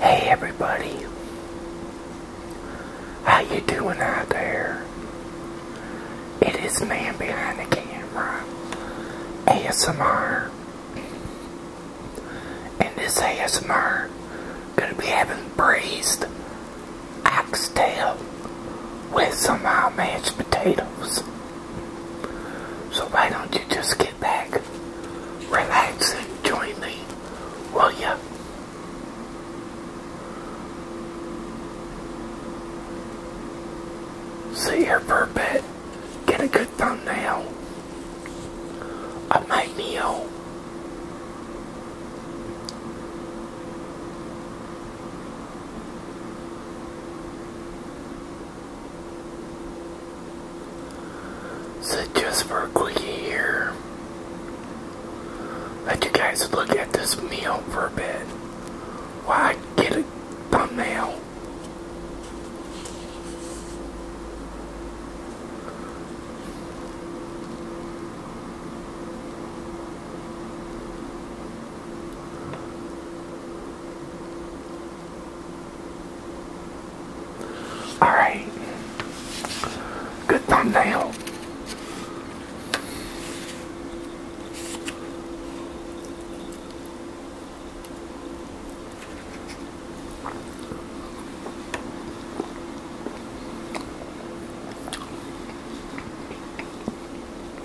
Hey everybody, how you doing out there? It is man behind the camera, ASMR, and this ASMR gonna be having braised oxtail with some mashed potatoes. So why don't you just get back, relax, and join me, will ya? Sit here for a bit, get a good thumbnail of my meal. So just for a quickie here, let you guys look at this meal for a bit while I get a thumbnail. Alright. Good thumbnail.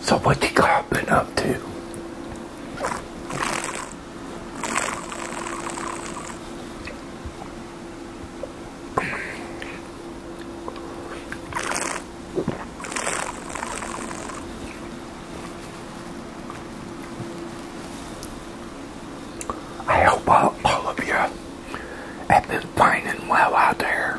So what you got been up to? I hope all, all of you have been fine and well out there.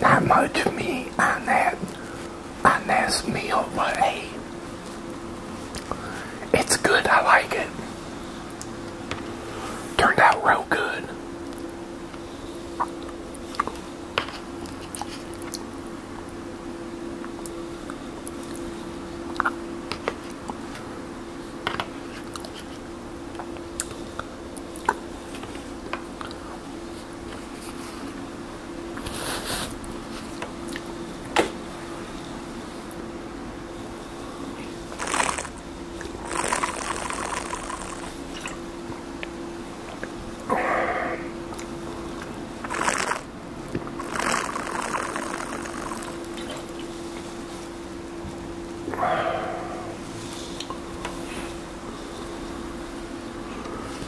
Not much meat on that on this meal, but hey, it's good. I like it. Turned out real good.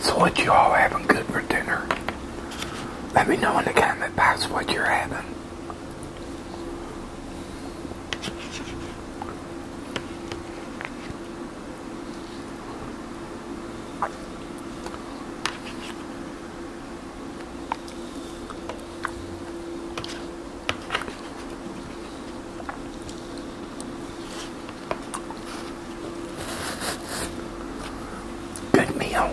So what you all having good for dinner? Let me know in the comment box what you're having. Good meal.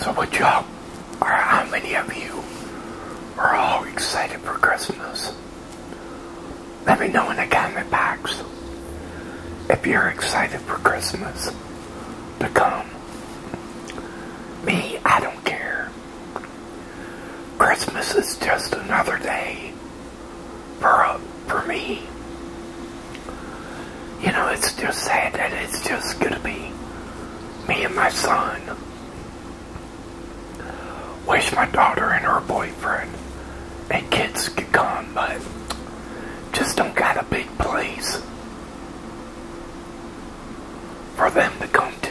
So what you how many of you are all excited for Christmas? Let me know in the comment box if you're excited for Christmas to come. Me, I don't care. Christmas is just another day for, uh, for me. You know, it's just sad that it's just going to be me and my son. Wish my daughter and her boyfriend and kids could come, but just don't got a big place for them to come to.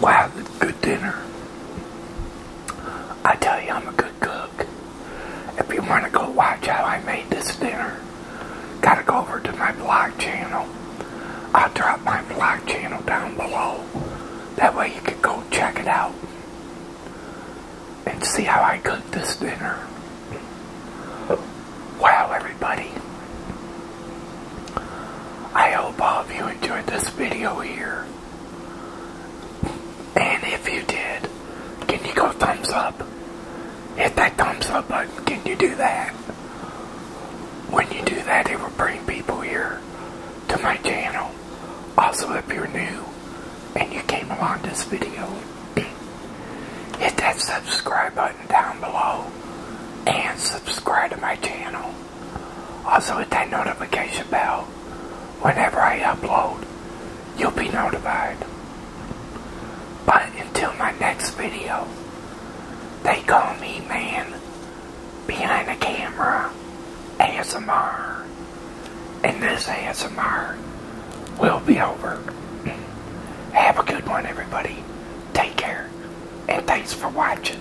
Wow, good dinner. I tell you, I'm a good cook. If you want to go watch how I made this dinner, gotta go over to my blog channel. I'll drop my vlog channel down below. That way you can go check it out and see how I cook this dinner. Wow, everybody. I hope all of you enjoyed this video here. And if you did, can you go thumbs up? hit that thumbs up button. Can you do that? When you do that, it will bring people here to my channel. Also, if you're new and you came along this video, hit that subscribe button down below and subscribe to my channel. Also, hit that notification bell. Whenever I upload, you'll be notified. But until my next video, they call me man behind the camera ASMR. And this ASMR will be over. Have a good one, everybody. Take care. And thanks for watching.